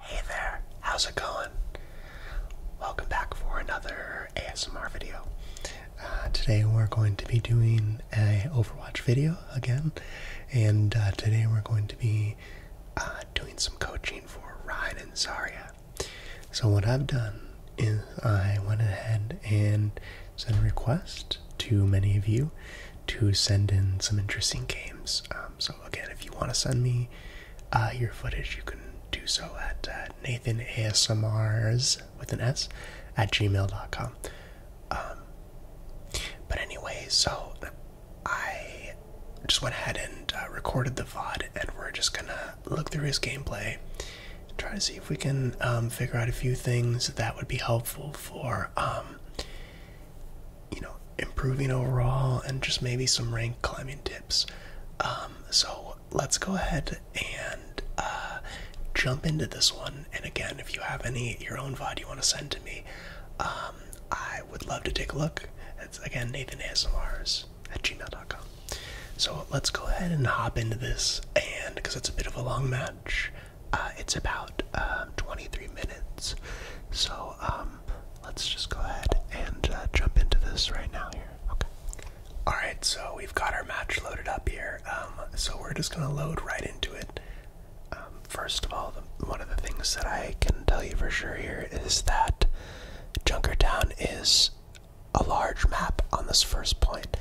Hey there, how's it going? Welcome back for another ASMR video. Uh, today we're going to be doing a Overwatch video again, and uh, today we're going to be uh, doing some coaching for Ryan and Zarya. So what I've done is I went ahead and sent a request to many of you to send in some interesting games. Um, so again, if you want to send me uh, your footage, you can do so at uh, NathanASMRs with an S at gmail.com. Um, but anyway, so I just went ahead and uh, recorded the VOD, and we're just gonna look through his gameplay try to see if we can um, figure out a few things that would be helpful for um, you know, improving overall and just maybe some rank climbing tips. Um, so let's go ahead and uh, jump into this one. And again, if you have any your own VOD you want to send to me, um, I would love to take a look. It's again Nathan ASMRs at gmail.com. So let's go ahead and hop into this, and because it's a bit of a long match, uh, it's about uh, 23 minutes. So um, let's just go ahead and uh, jump into this right now here. Okay. All right, so we've got our match loaded up here. Um, so we're just gonna load right into it. Um, first of all, one of the things that I can tell you for sure here is that Junkertown is a large map on this first point.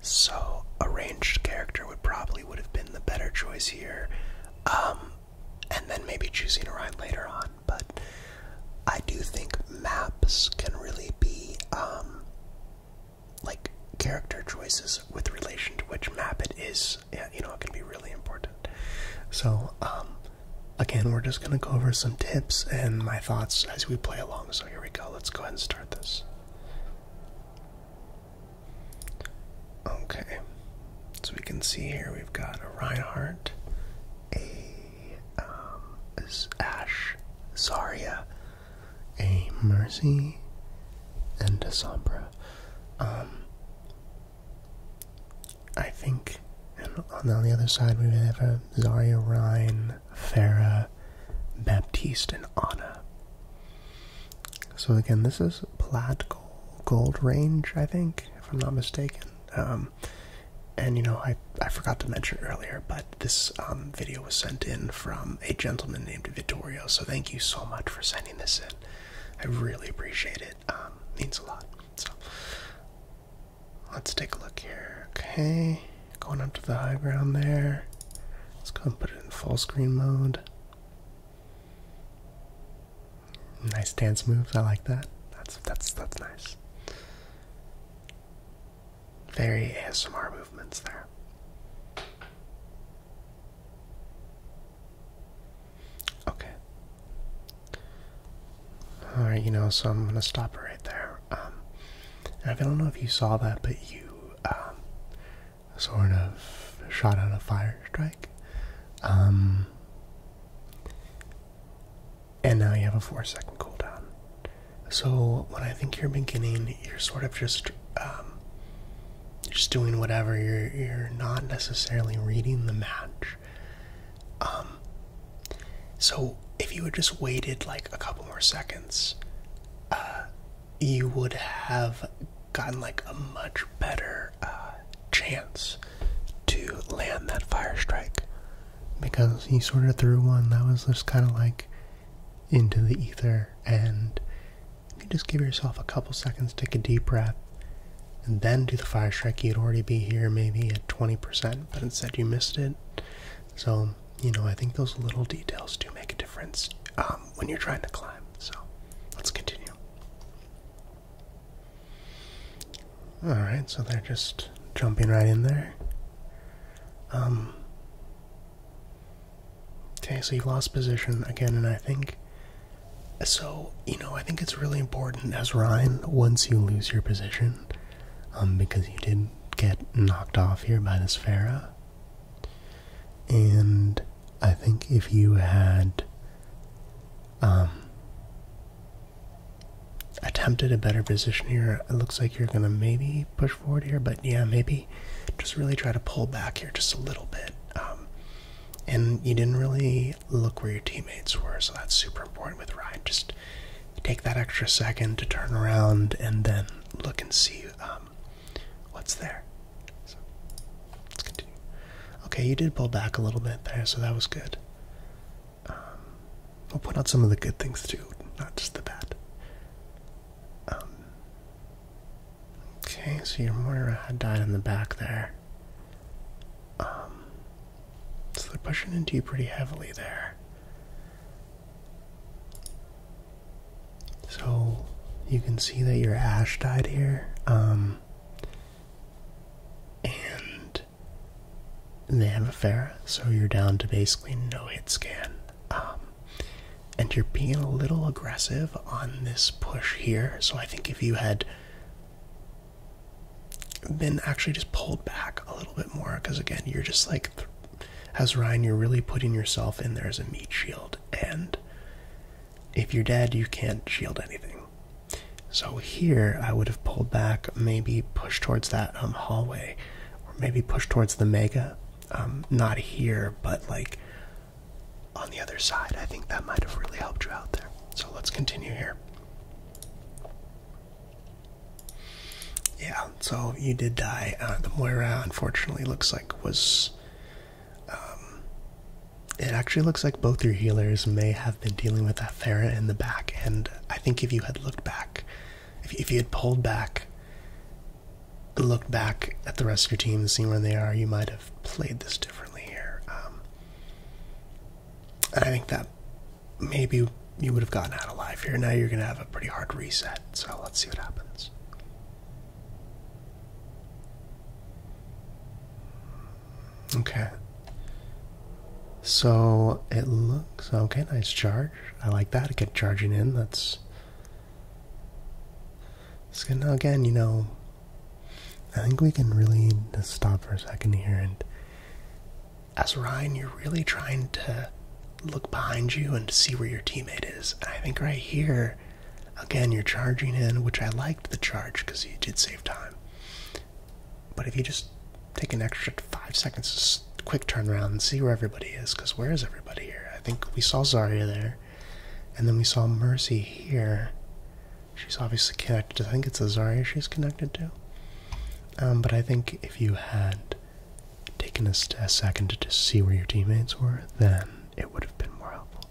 So a ranged character would probably would have been the better choice here. Um, and then maybe choosing a ride later on. But I do think maps can really be um, like character choices with relation to which map it is. Yeah, you know, it can be really important. So, um, again, we're just going to go over some tips and my thoughts as we play along. So, here we go. Let's go ahead and start this. Okay, so we can see here we've got a Reinhardt, a um, Ash, Zarya, a Mercy, and a Sombra. Um, I think, and on, the other side we have a Zarya, Rein, Farah, Baptiste, and Anna. So again, this is plaid gold, range, I think, if I'm not mistaken. Um, and you know, I I forgot to mention earlier, but this um, video was sent in from a gentleman named Vittorio. So thank you so much for sending this in. I really appreciate it. Um, means a lot. So let's take a look here. Okay, going up to the high ground there. Let's go and put it in full screen mode. Nice dance moves. I like that. That's that's that's nice. Very ASMR movements there. Okay. All right, you know, so I'm gonna stop it right there. Um, I don't know if you saw that, but you um, sort of shot out a fire strike. Um, and now you have a four second cooldown. So when I think you're beginning, you're sort of just um, just doing whatever. You're you're not necessarily reading the match. Um, so if you had just waited like a couple more seconds, uh, you would have gotten like a much better uh, chance to land that fire strike because he sort of threw one that was just kind of like into the ether. And if you just give yourself a couple seconds, take a deep breath, and then do the fire strike, you'd already be here maybe at 20%, but instead you missed it. So, you know, I think those little details do make a difference um, when you're trying to climb. So, let's continue. Alright, so they're just jumping right in there. Um, okay, so you've lost position again, and I think. So, you know, I think it's really important as Ryan once you lose your position, um, because you did get knocked off here by this Pharaoh. And I think if you had um, attempted a better position here. It looks like you're going to maybe push forward here, but yeah, maybe just really try to pull back here just a little bit. Um, and you didn't really look where your teammates were, so that's super important with Ryan. Just take that extra second to turn around and then look and see um, what's there let's continue. Okay, you did pull back a little bit there, so that was good. Um, we'll point out some of the good things too, not just the bad. Um, okay, so your Moira had died in the back there. Um, so they're pushing into you pretty heavily there. So you can see that your Ash died here. Um, and they have a fair, so you're down to basically no hit scan. Um, and you're being a little aggressive on this push here, so I think if you had been actually just pulled back a little bit more, because again, you're just like, as Ryan, you're really putting yourself in there as a meat shield, and if you're dead, you can't shield anything. So here, I would have pulled back, maybe pushed towards that um, hallway, or maybe pushed towards the mega. Um, not here, but like on the other side. I think that might have really helped you out there. So let's continue here. Yeah, so you did die. Uh, the Moira, unfortunately, looks like was um, it actually looks like both your healers may have been dealing with that Thera in the back, and I think if you had looked back, if, if you had pulled back, looked back at the rest of your team and seen where they are, you might have played this differently here. Um, I think that maybe you would have gotten out alive here. Now you're going to have a pretty hard reset, so let's see what happens. Okay. So it looks okay, nice charge. I like that. It kept charging in. That's it's gonna again, you know, I think we can really stop for a second here and as Ryan, you're really trying to look behind you and see where your teammate is. I think right here Again, you're charging in, which I liked the charge because you did save time. But if you just take an extra five seconds, to quick turn around and see where everybody is, because where is everybody here? I think we saw Zarya there, and then we saw Mercy here. She's obviously connected. I think it's a Zarya she's connected to. Um, but I think if you had taken a, second to see where your teammates were, then it would have been more helpful.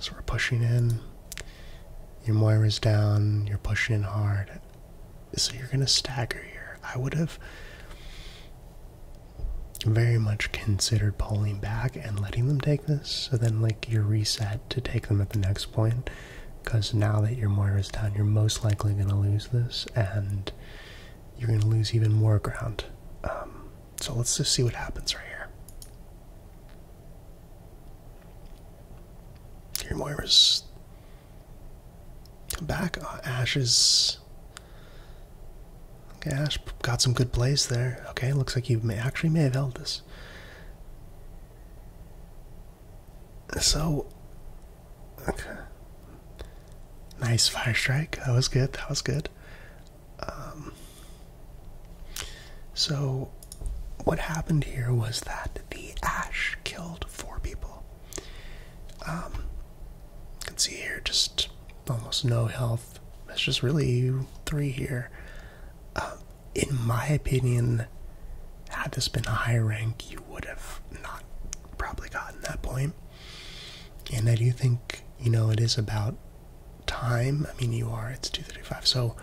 So we're pushing in. Your is down. You're pushing in hard. So you're gonna stagger here. I would have very much considered pulling back and letting them take this. So then, like, you're reset to take them at the next point. Because now that your is down, you're most likely gonna lose this, and you're gonna lose even more ground. Um, so let's just see what happens right here. Here Moira's come back. Uh, Ashes. okay. Ash got some good plays there. Okay, looks like you may actually may have held this. So okay, nice fire strike. That was good. That was good. Um, so, what happened here was that the ash killed four people. Um, you can see here just almost no health. It's just really three here. Uh, in my opinion, had this been a high rank, you would have not probably gotten that point. And I do think, you know, it is about time. I mean, you are. It's 235. So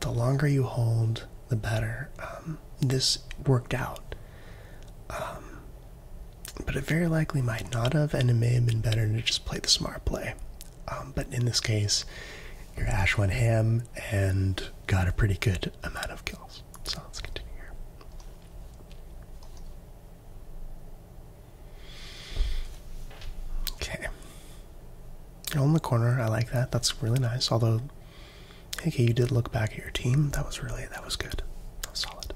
the longer you hold, the better. Um, this worked out. Um, but it very likely might not have, and it may have been better to just play the smart play. Um, but in this case, you're went ham and got a pretty good amount of kills. So let's continue here. Okay. All in the corner, I like that. That's really nice. Although, okay, you did look back at your team. That was really that was good. That solid.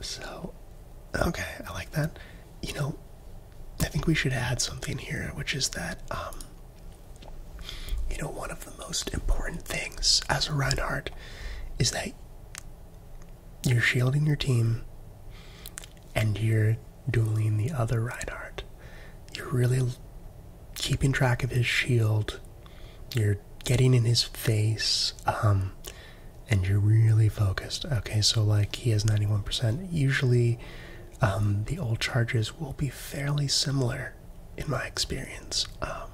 So, okay, I like that. You know, I think we should add something here, which is that um you know, one of the most important things as a Reinhardt is that you're shielding your team and you're dueling the other Reinhardt. You're really keeping track of his shield. You're getting in his face. Um, and you're really focused. Okay, so like he has 91%. Usually um, the old charges will be fairly similar in my experience. Um,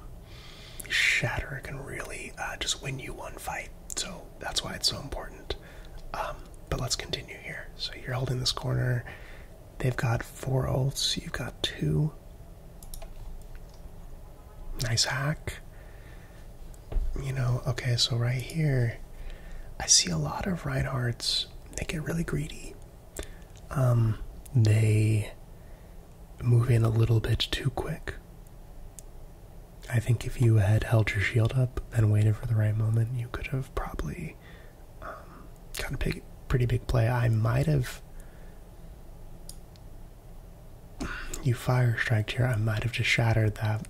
shatter can really uh, just win you one fight. So that's why it's so important. Um, but let's continue here. So you're holding this corner. They've got four ults. You've got two. Nice hack. You know, okay, so right here, I see a lot of Reinhardts. They get really greedy. Um, they moving a little bit too quick. I think if you had held your shield up and waited for the right moment, you could have probably um, got a pretty big play. I might have. You fire striked here. I might have just shattered that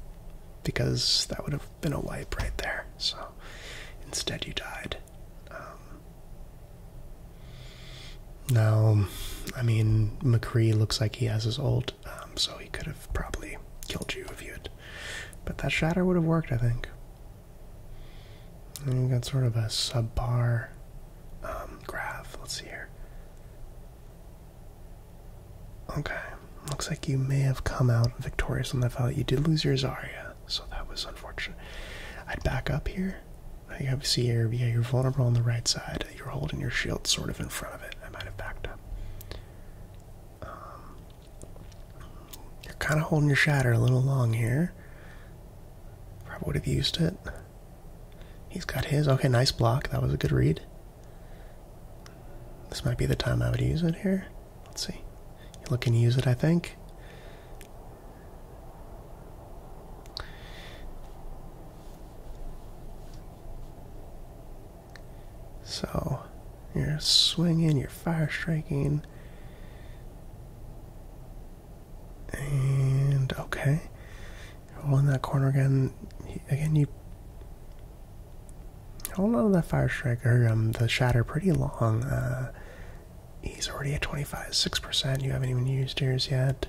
because that would have been a wipe right there. So instead, you died. Um, now, I mean, McCree looks like he has his ult, um, so he could have probably killed you if you had. But that shatter would have worked, I think. And you got sort of a sub bar um, graph. Let's see here. Okay, looks like you may have come out victorious on that fight. You did lose your Zarya, so that was unfortunate. I'd back up here you have see here, yeah, you're vulnerable on the right side. You're holding your shield sort of in front of it. I might have backed up. Um, you're kind of holding your shatter a little long here. Probably would have used it. He's got his. Okay, nice block. That was a good read. This might be the time I would use it here. Let's see. You're looking to use it, I think. So you're swinging, you're fire striking. And okay, roll in that corner again. Again, you hold on to that fire striker, um, the shatter pretty long. Uh, he's already at 25, 6%. You haven't even used yours yet.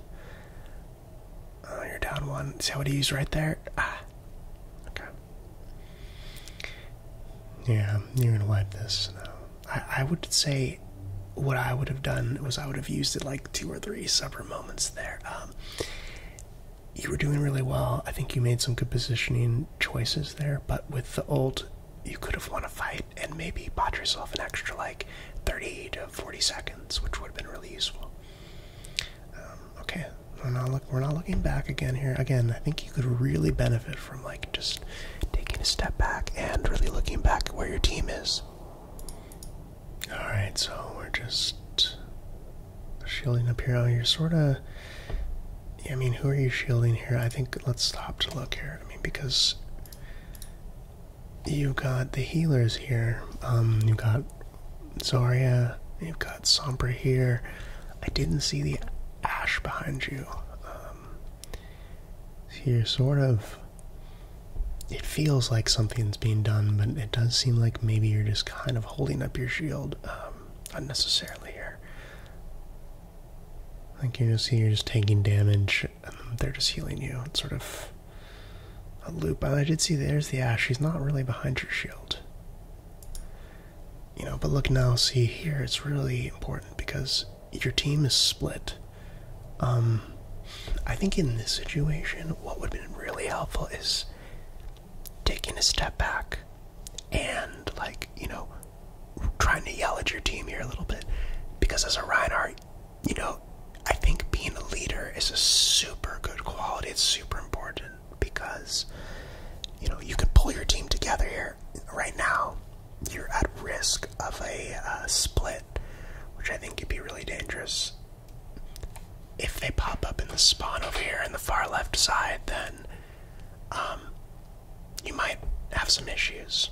Oh, you're down one. See how it eased right there? Ah. Okay. Yeah, you're gonna wipe this I, I would say what I would have done was I would have used it like two or three separate moments there. Um, you were doing really well. I think you made some good positioning choices there, but with the old, you could have won a fight and maybe bought yourself an extra like 30 to 40 seconds which would have been really useful. Um, okay, we're not, look, we're not looking back again here. Again, I think you could really benefit from like just taking a step back and really looking back where your team is. All right, so we're just shielding up here. Oh, you're sort of. I mean, who are you shielding here? I think let's stop to look here. I mean, because you got the healers here. Um, you got Zarya. You've got Sombra here. I didn't see the ash behind you. Um, you're sort of. It feels like something's being done, but it does seem like maybe you're just kind of holding up your shield um, unnecessarily here. Like you can see, you're just taking damage and they're just healing you. It's sort of a loop. I did see there's the ash. She's not really behind your shield. You know, but look now, see here, it's really important because your team is split. Um, I think in this situation, what would be really helpful is taking a step back and, like, you know, trying to yell at your team here a little bit. Because as a Reinhardt, you know, I think being a leader is a super good quality. It's super important because, you know, you can pull your team together here. Right now, you're at risk of a uh, split, which I think could be really dangerous. If they pop up in the spawn over here in the far left side, then um, you might have some issues.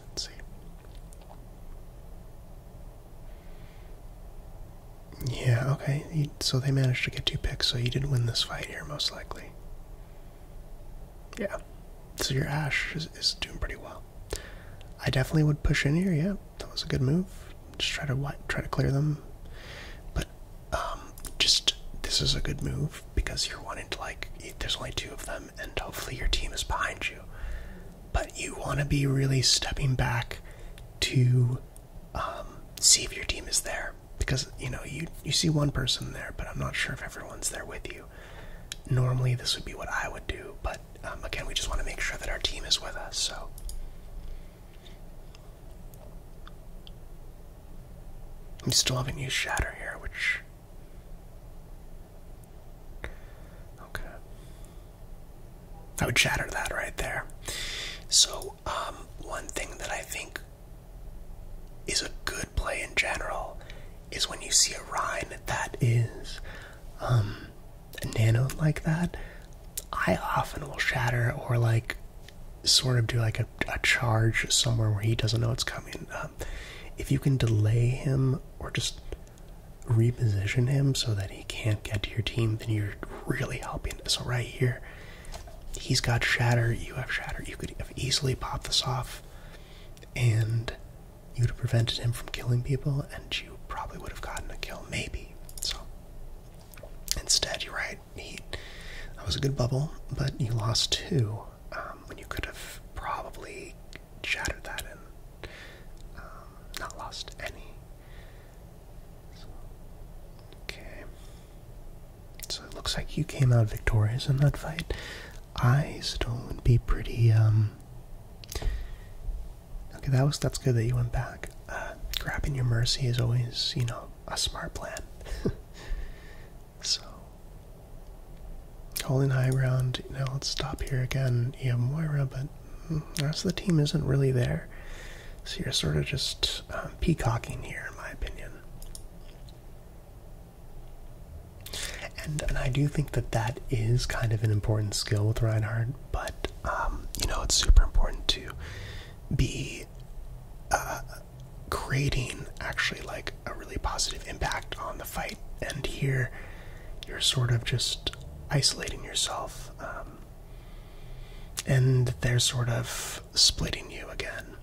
Let's see. Yeah, okay. so they managed to get two picks, so you did win this fight here, most likely. Yeah. So your Ash is, doing pretty well. I definitely would push in here, yeah. That was a good move. Just try to try to clear them. But um, just this is a good move because you're wanting to like. There's only two of them and hopefully your team is behind you. But you want to be really stepping back to um, see if your team is there, because you know you you see one person there, but I'm not sure if everyone's there with you. Normally, this would be what I would do, but um, again, we just want to make sure that our team is with us. So. We still haven't used Shatter here, which Okay. I would shatter that right there. So, um, one thing that I think is a good play in general is when you see a rhyme that is um, nanoed like that. I often will shatter or like sort of do like a, charge somewhere where he doesn't know it's coming. Um, if you can delay him or just reposition him so that he can't get to your team, then you're really helping. So right here, he's got shatter, you have shatter. You could have easily popped this off and you'd have prevented him from killing people and you probably would have gotten a kill, maybe. So instead you're right, that was a good bubble, but you lost two. Um, when you could have probably shattered that and um, not lost any. So, okay. So it looks like you came out victorious in that fight. I still would be pretty. Um, okay, that was that's good that you went back. Uh, grabbing your mercy is always, you know, a smart plan. So, holding high ground. Now let's stop here again. You have Moira, but mm, the rest of the team isn't really there. So you're sort of just um, peacocking here, in my opinion. And I do think that that is kind of an important skill with Reinhardt, but um, you know, it's super important to be uh, creating actually like a really positive impact on the fight. And here, you're sort of just isolating yourself, um, and they're sort of splitting you again.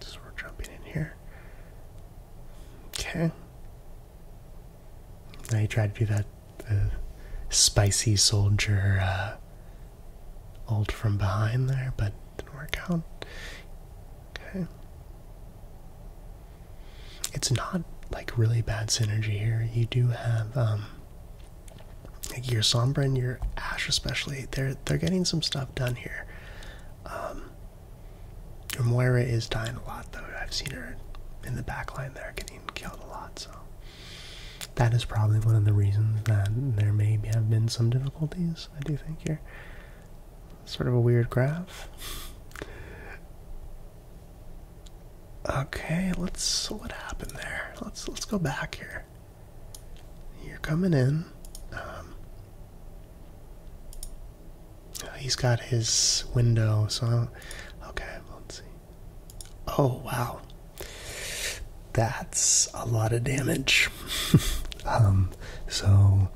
So we're jumping in here. Okay. Now you try to do that the spicy soldier uh, ult from behind there, but didn't work out. Okay. It's not like really bad synergy here. You do have um, your Sombra and your Ash especially, they're they're getting some stuff done here. Um, Moira is dying a lot though. I've seen her in the back line there getting killed a lot, so that is probably one of the reasons that there may have been some difficulties, I do think, here. Sort of a weird graph. Okay, let's what happened there? Let's let's go back here. You're coming in. Um, he's got his window, so okay, let's see. Oh, wow. That's a lot of damage. Um, so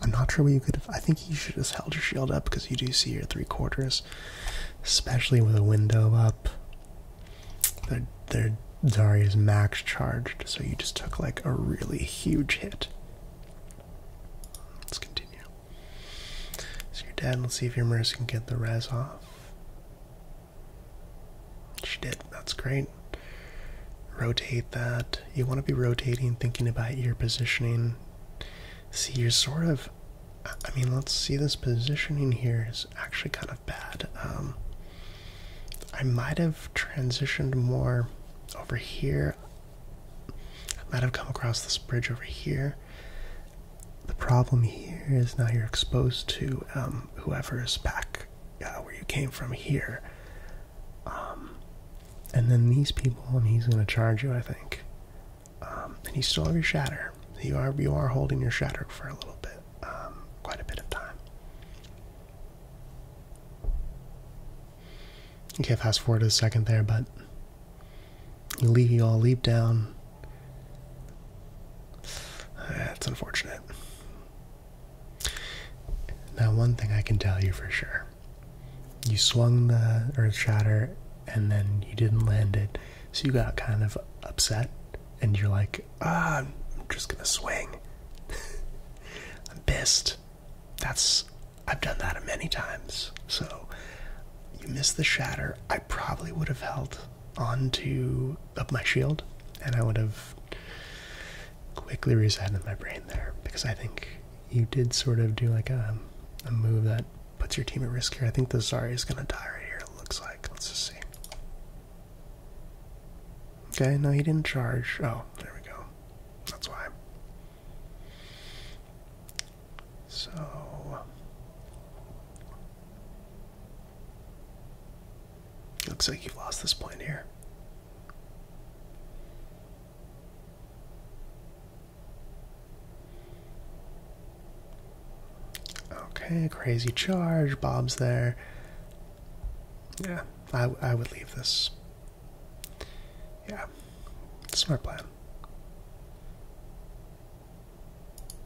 I'm not sure what you could have. I think you should just held your shield up because you do see your three quarters, especially with a window up. Their, their Zarya max charged, so you just took like a really huge hit. Let's continue. So your dad, let's see if your nurse can get the res off. She did, that's great. Rotate that. You want to be rotating, thinking about your positioning. See, you're sort of. I mean, let's see, this positioning here is actually kind of bad. Um, I might have transitioned more over here. I might have come across this bridge over here. The problem here is now you're exposed to um, whoever's back uh, where you came from here. Um, and then these people, and he's going to charge you, I think. Um, and you still have your shatter. You are you are holding your shatter for a little bit, um, quite a bit of time. Okay, fast forward to the second there, but you leave, you all leap down. That's unfortunate. Now, one thing I can tell you for sure you swung the earth shatter and then you didn't land it, so you got kind of upset, and you're like, ah, I'm just gonna swing. I'm pissed. That's, I've done that many times, so you miss the shatter, I probably would have held onto up my shield, and I would have quickly resetted my brain there because I think you did sort of do like a, a move that puts your team at risk here. I think the Zari is gonna die right here. It looks like. Let's just see. Okay, no, he didn't charge. Oh, there we go. That's why. So looks like you've lost this plan here. Okay, crazy charge. Bob's there. Yeah, I I would leave this. Yeah, smart plan.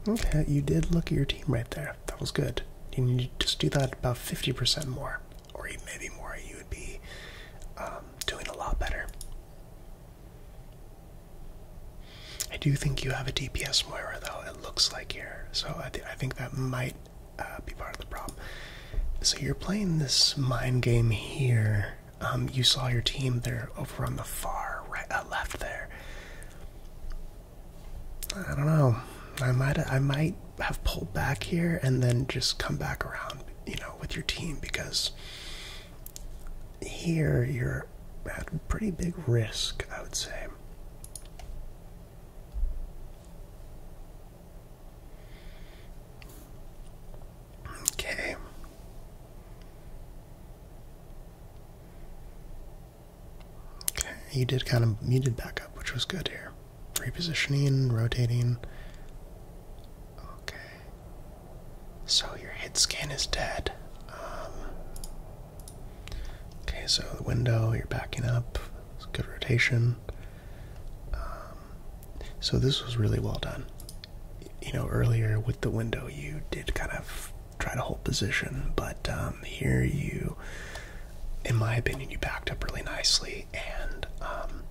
Okay, you did look at your team right there. That was good. You need to just do that about 50% more, or maybe more. You would be um, doing a lot better. I do think you have a DPS Moira, though, it looks like here. So I, think that might uh, be part of the problem. So you're playing this mind game here. Um, you saw your team there over on the far right, uh, left there. I don't know. I might I might have pulled back here and then just come back around, you know, with your team because here you're at a pretty big risk, I would say. Okay. Okay, you did kind of muted did back up, which was good here. Repositioning, rotating. Okay. So your head skin is dead. Um, okay, so the window, you're backing up. good rotation. Um, so this was really well done you know, earlier with the window, you did kind of try to hold position, but um, here you, in my opinion, you backed up really nicely and um,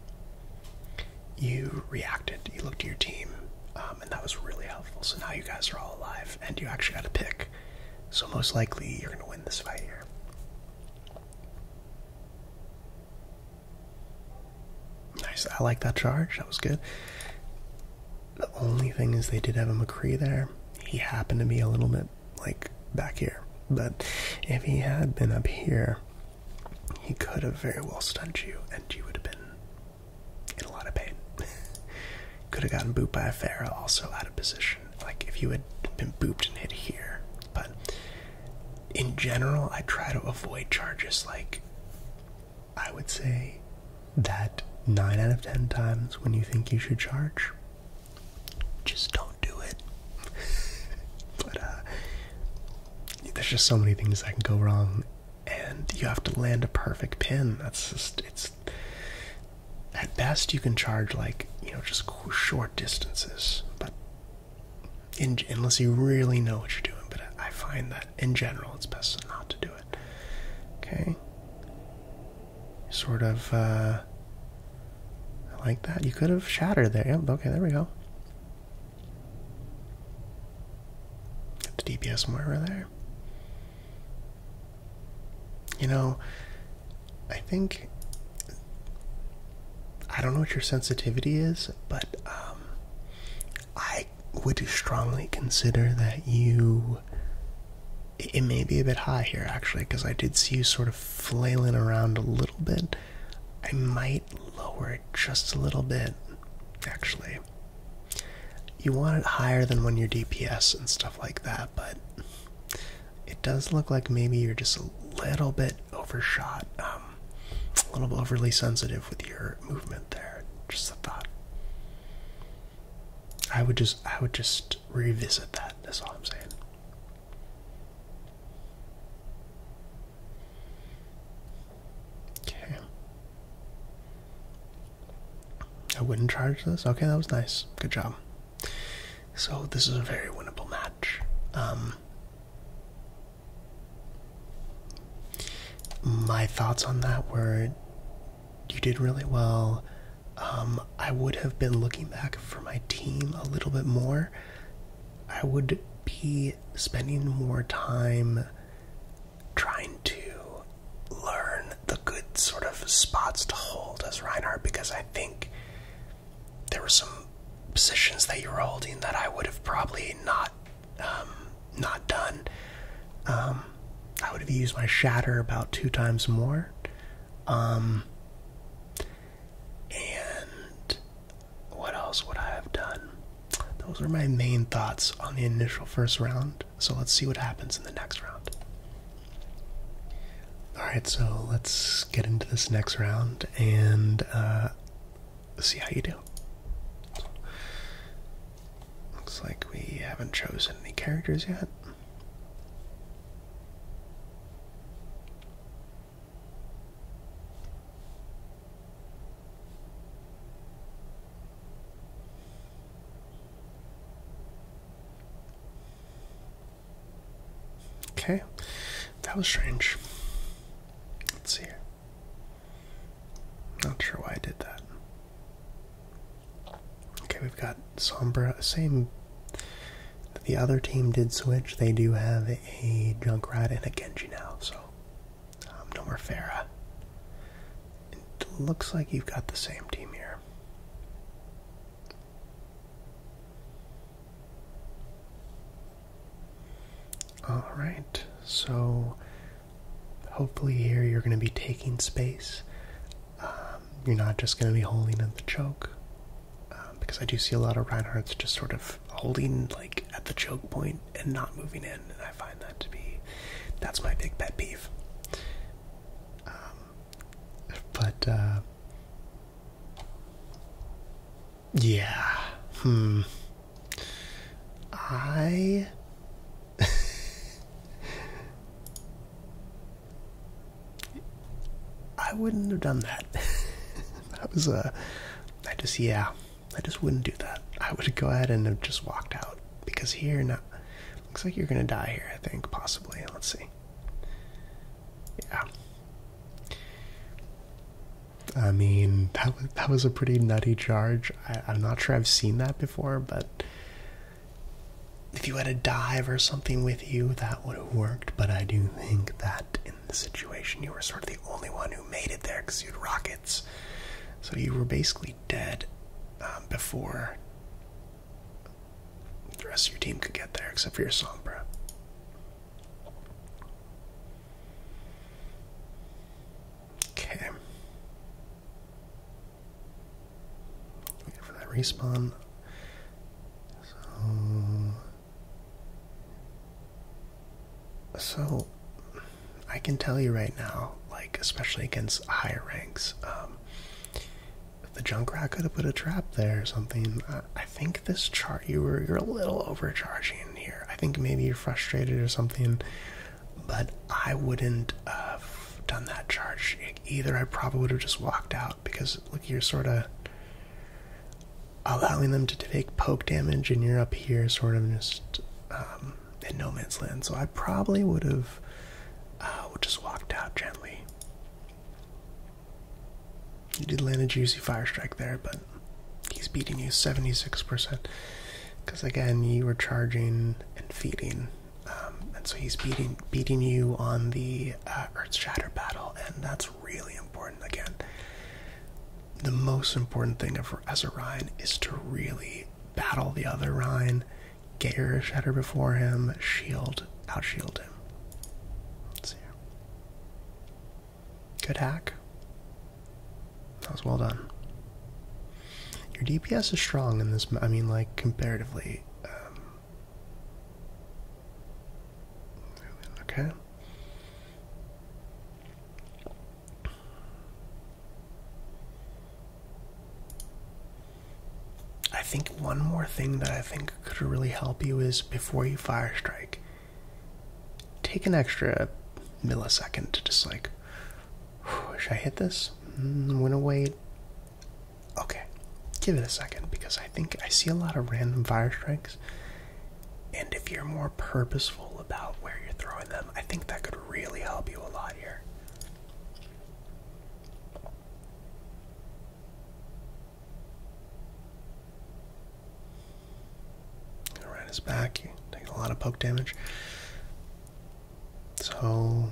you reacted. You looked to your team, um, and that was really helpful. So now you guys are all alive, and you actually got a pick. So most likely, you're going to win this fight here. Nice. I like that charge. That was good. The only thing is they did have a McCree there. He happened to be a little bit like back here. But if he had been up here, he could have very well stunned you and you would have been in a lot of pain. could have gotten booped by a Pharaoh also out of position. Like if you had been booped and hit here. But in general I try to avoid charges like I would say that 9 out of 10 times when you think you should charge, just don't do it. but uh, there's just so many things that can go wrong, and you have to land a perfect pin. That's just, it's at best you can charge like, you know, just short distances, but unless you really know what you're doing. But I find that in general, it's best not to do it it. Okay? Sort of, uh, I like that. You could have shattered there. okay, there we go. Get the DPS more over there. You know, I think. I don't know what your sensitivity is, but um, I would strongly consider that you. It may be a bit high here, actually, because I did see you sort of flailing around a little bit. I might lower it just a little bit, actually. You want it higher than when you're DPS and stuff like that, but it does look like maybe you're just a little bit overshot, um, a little bit overly sensitive with your movement there. Just a thought. I would just I would just revisit that, that's all I'm saying. Okay. I wouldn't charge this. Okay, that was nice. Good job. So this is a very winnable match. Um my thoughts on that were you did really well. Um, I would have been looking back for my team a little bit more. I would be spending more time trying to learn the good sort of spots to hold as Reinhardt because I think there were some positions that you were holding that I would have probably not not done. Um, I would have used my shatter about two times more. Um, and what else would I have done? Those are my main thoughts on the initial first round. So let's see what happens in the next round. Alright, so let's get into this next round. And uh, see how you do. Looks like we haven't chosen any characters yet. Okay, that was strange. Let's see not sure why I did that. Okay, we've got Sombra. Same. The other team did switch. They do have a Junkrat and a Genji now, so um, no more Farah. It looks like you've got the same team here. All right, so Hopefully, here you're going to be taking space. Um, you're not just going to be holding at the choke, um, because I do see a lot of Reinhards just sort of holding like at the choke point and not moving in, and I find that to be that's my big pet peeve. Um, but uh, yeah, hmm, I. I wouldn't have done that. that was a. Uh, I just, yeah. I just wouldn't do that. I would go ahead and have just walked out. Because here, now. Looks like you're gonna die here, I think, possibly. Let's see. Yeah. I mean, that was, that was a pretty nutty charge. I, am not sure I've seen that before, but if you had a dive or something with you, that would have worked. But I do think that in the situation, you were sort of the only one who made it there because you had rockets. So you were basically dead um, before the rest of your team could get there, except for your Sombra. Okay. Wait for that respawn. So, I can tell you right now, like especially against higher ranks, um, the junk the could have put a trap there or something. I, I think this chart you were you're a little overcharging here. I think maybe you're frustrated or something but I wouldn't have done that charge either. I probably would have just walked out because look, you're sort of allowing them to take poke damage, and you're up here, sort of just um, in no man's land. So I probably would have uh, just walked out gently. You did land a juicy fire strike there, but he's beating you 76% because again you were charging and feeding um, and so he's beating beating you on the uh, earth shatter battle and that's really important again the most important thing of, as a is to really battle the other rhine get your shatter before him shield outshield him good hack that was well done. Your DPS is strong in this. I mean, like comparatively. Um, okay. I think one more thing that I think could really help you is before you fire strike, take an extra millisecond to just like should I hit this? Mm, went wait. Okay, give it a second because I think I see a lot of random fire strikes. And if you're more purposeful about where you're throwing them, I think that could really help you a lot here. Around his back, taking a lot of poke damage. So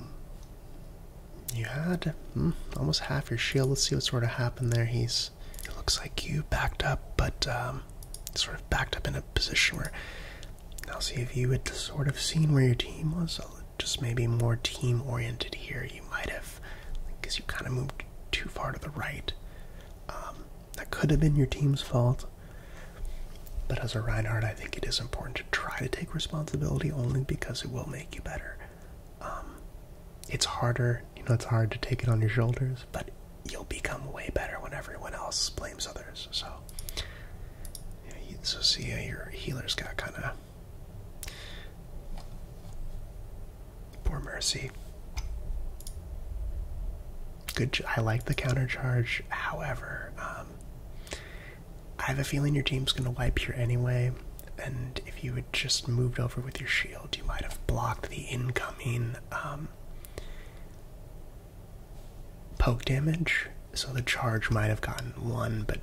you had hmm, almost half your shield. Let's see what sort of happened there. He's looks like you backed up, but um, sort of backed up in a position where I'll see if you had sort of seen where your team was. So just maybe more team oriented here. You might have because you kind of moved too far to the right. Um, that could have been your team's fault. But as a Reinhardt, I think it is important to try to take responsibility only because it will make you better. Um, it's harder, you know, it's hard to take it on your shoulders, but you'll become way better when everyone else blames others. So, yeah, so see, uh, your healers got kind of. Poor Mercy good. I like the counter charge. However, um, I have a feeling your team's going to wipe you anyway. And if you had just moved over with your shield, you might have blocked the incoming um, poke damage. So the charge might have gotten one, but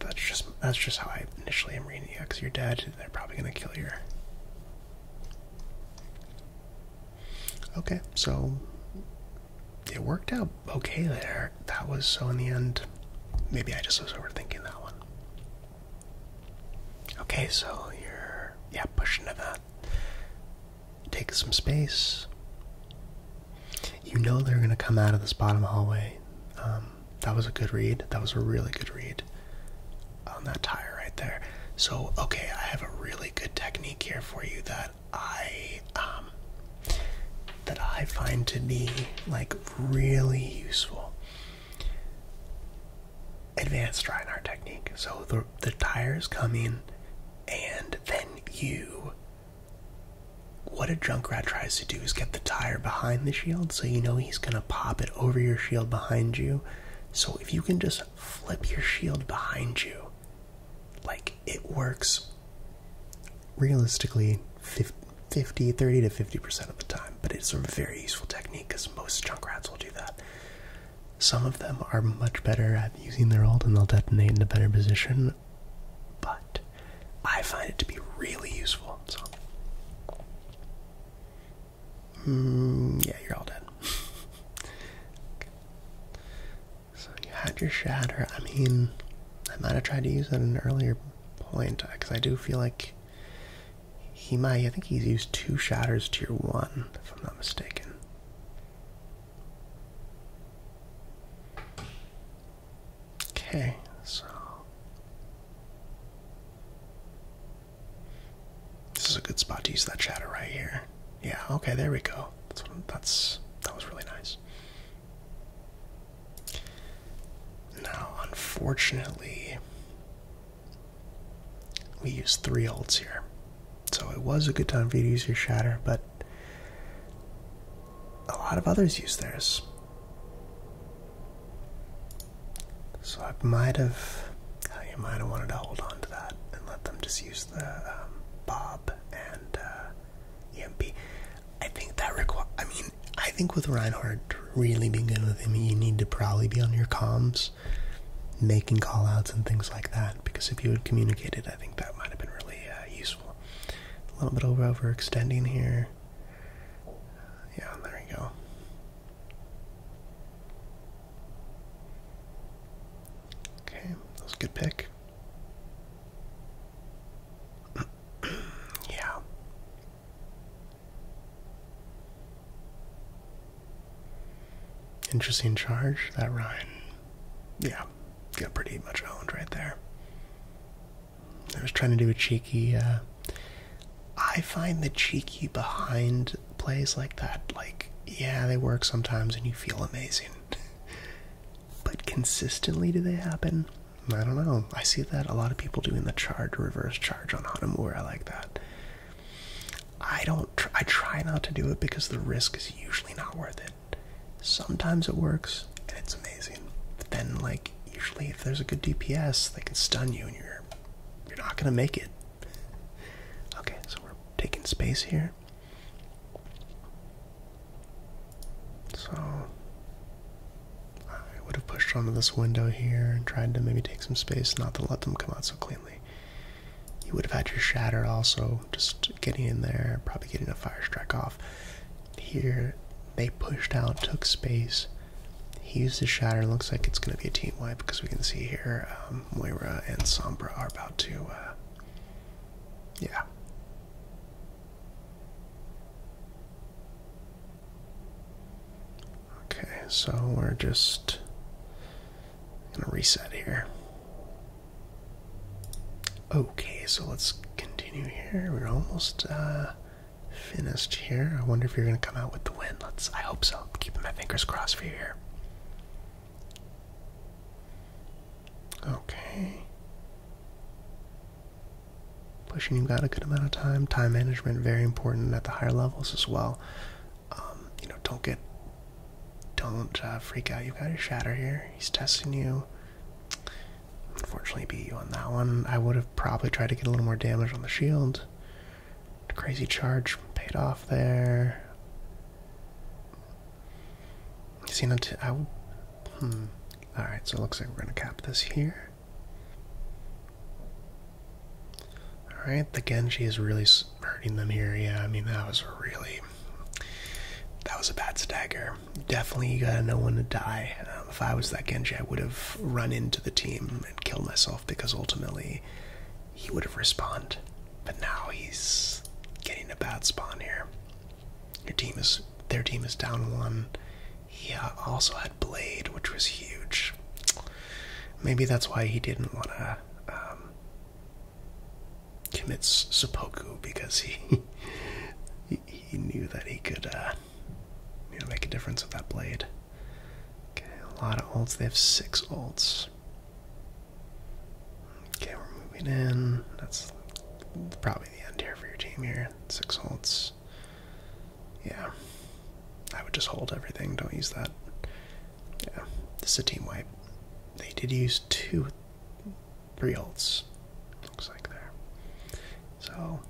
that's just that's just how I initially am reading it. Because you're dead, they're probably going to kill your. Okay, so it worked out okay there. That was so in the end. Maybe I just was overthinking that one. Okay, so you're yeah pushing to that. Take some space. You know they're gonna come out of this bottom hallway. Um, that was a good read. That was a really good read on that tire right there. So, okay, I have a really good technique here for you that I um that I find to be like really useful. Advanced art technique. So the the tires come in and then you what a Junkrat tries to do is get the tire behind the shield so you know he's gonna pop it over your shield behind you. So if you can just flip your shield behind you. Like, it works realistically 50, 30 to 50% of the time, but it's a very useful technique because most junk rats will do that. Some of them are much better at using their ult and they'll detonate in a better position, but I find it to be really useful. So, Mm, yeah, you're all dead. So you had your shatter. I mean, I might have tried to use it at an earlier point because uh, I do feel like he might. I think he's used two shatters to your one, if I'm not mistaken. Okay, so this is a good spot to use that shatter right here. Yeah, okay, there we go. That's that's that was really nice. Now, unfortunately, we use three ults here. So it was a good time for you to use your shatter, but a lot of others use theirs. So I might have uh, you might have wanted to hold on to that and let them just use the um, Bob and uh, EMP. I think that requires. I mean, I think with Reinhardt, really be good with him, you need to probably be on your comms, making callouts and things like that. Because if you had communicated, I think that might have been really uh, useful. A little bit over overextending here. Yeah, there we go. Okay, that a good pick. yeah. Interesting charge. That Ryan, yeah, got pretty much owned right there. I was trying to do a cheeky. Uh, I find the cheeky behind plays like that, like, yeah, they work sometimes and you feel amazing. but consistently, do they happen? I don't know. I see that a lot of people doing the charge, reverse charge on Hanamura. I like that. I don't, I try not to do it because the risk is usually not worth it. Sometimes it works and it's amazing. But then, like, usually if there's a good DPS, they can stun you and you're, you're not gonna make it. Okay, so we're taking space here. So I would have pushed onto this window here and tried to maybe take some space not to let them come out so cleanly. You would have had your shatter also, just getting in there, probably getting a fire strike off. Here, they pushed out, took space. He used the shatter. Looks like it's going to be a team wipe because we can see here um, Moira and Sombra are about to, uh, yeah. Okay, so we're just gonna reset here. Okay, so let's continue here. We're almost uh, finished here. I wonder if you're gonna come out with the win. Let's. I hope so. keeping my fingers crossed for you here. Okay. Pushing, you've got a good amount of time. Time management, very important at the higher levels as well. Um, you know, don't get, don't uh, freak out. You've got a shatter here. He's testing you. Unfortunately, beat you on that one. I would have probably tried to get a little more damage on the shield. Crazy charge paid off there. See, not I. Hmm. All right, so it looks like we're gonna cap this here. All right, the Genji is really hurting them here. Yeah, I mean that was really that was a bad stagger. Definitely, gotta know when to die. Um, if I was that Genji, I would have run into the team and killed myself because ultimately he would have responded. But now he's getting a bad spawn here. Your team is their team is down one. He uh, also had blade, which was huge. Maybe that's why he didn't want to um, commit Supoku because he, he knew that he could uh, you know make a difference with that blade. Okay, a lot of ults. They have six ults. Okay, we're moving in. That's probably the end here for your team here. Six holds. Yeah. I would just hold everything. Don't use that. Yeah. This is a team wipe. They did use two, three holds. Looks like there. So,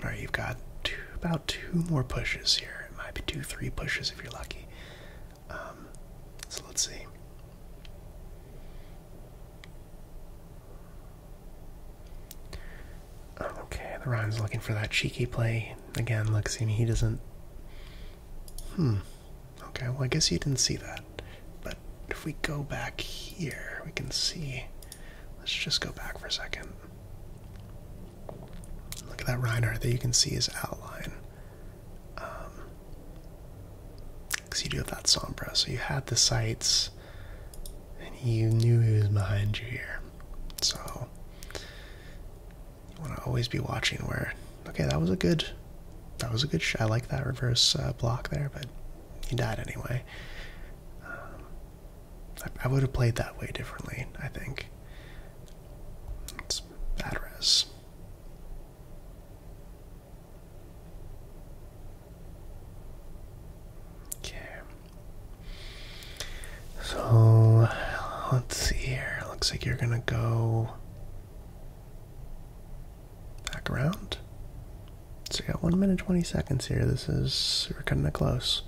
alright, you've got about two more pushes here. It might be two, three pushes if you're lucky. Um, so let's see. Okay, the Ryan's looking for that cheeky play. Again, Looks to me, he doesn't. Hmm. Okay, well, I guess you didn't see that. But if we go back here, we can see. Let's just go back for a second. Look at that Reinhardt that you can see his outline. Because um, you do have that Sombra, so you had the sights, and you knew who was behind you here. So you want to always be watching where. Okay, that was a good. That was a good. Sh I like that reverse uh, block there, but he died anyway. Um, I would have played that way differently, I think. That's bad res. Okay. So let's see here. Looks like you're gonna go back around. So you got one minute twenty seconds here. This is we're cutting it close.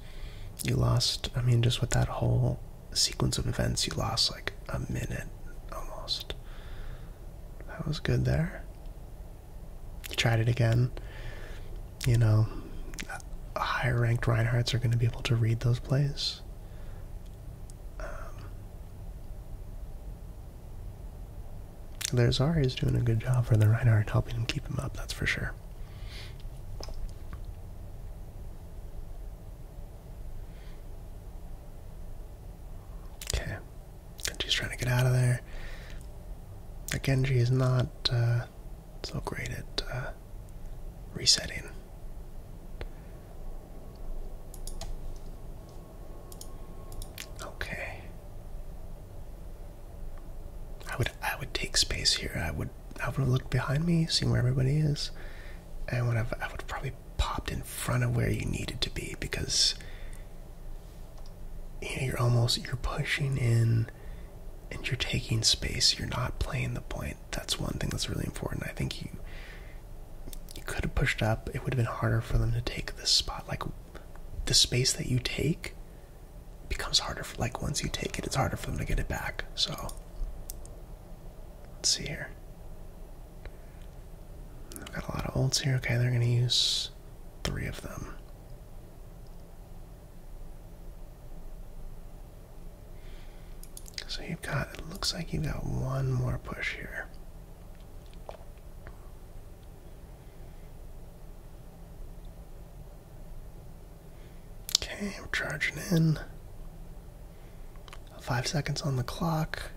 You lost. I mean, just with that whole sequence of events, you lost like a minute almost. That was good there. You tried it again. You know, higher ranked Reinhardts are going to be able to read those plays. there's um, Ari is doing a good job for the Reinhardt, helping him keep him up, that's for sure. Okay. Genji's trying to get out of there. Genji is not uh, so great at uh, resetting. Okay. I would I would take space here. I would I would have looked behind me, seen where everybody is, and would have I would have probably popped in front of where you needed to be because you are almost you're pushing in and you're taking space. You're not playing the point. That's one thing that's really important. I think you you could have pushed up. It would have been harder for them to take this spot. Like the space that you take becomes harder. For, like once you take it, it's harder for them to get it back. So Let's see here. I've got a lot of ults here. Okay, they're going to use three of them. So you've got, it looks like you've got one more push here. Okay, we're charging in. Five seconds on the clock.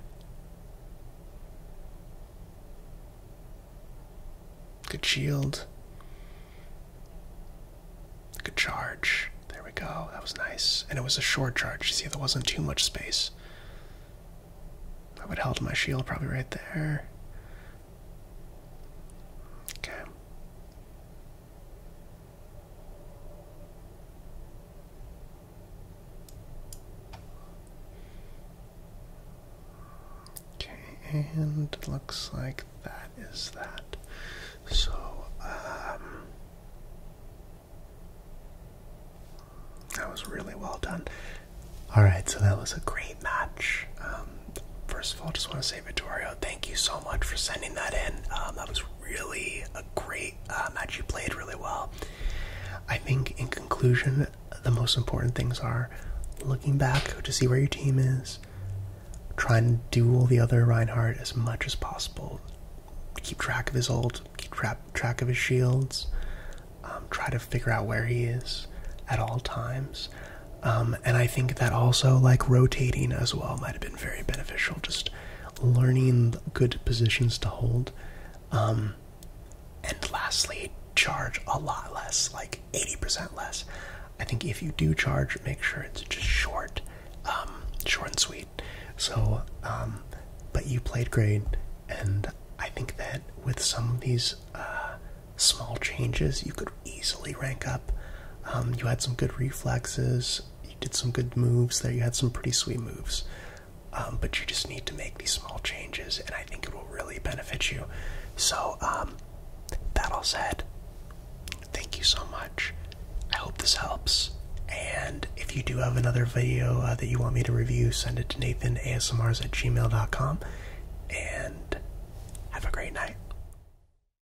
Good shield. Good charge. There we go. That was nice. And it was a short charge. You see, there wasn't too much space. I would held my shield probably right there. Okay. Okay, and it looks like that is that. So, um, that was really well done. All right, so that was a great match. Um, first of all, just want to say say, thank you so much for sending that in. Um, that was really a great uh, match. You played really well. I think, in conclusion, the most important things are looking back to see where your team is, trying to duel the other Reinhardt as much as possible, keep track of his ult, keep track of his shields, um, try to figure out where he is at all times. Um, and I think that also, like, rotating as well might have been very beneficial. Just learning good positions to hold. Um, and lastly, charge a lot less, like 80% less. I think if you do charge, make sure it's just short, um, short and sweet. So, um, but you played great, and I think that with some of these uh, small changes, you could easily rank up. Um, you had some good reflexes, you did some good moves there, you had some pretty sweet moves. Um, but you just need to make these small changes, and I think it will really benefit you. So, um, that all said, thank you so much. I hope this helps. And if you do have another video uh, that you want me to review, send it to nathanasmrs at gmail.com. And have a great night.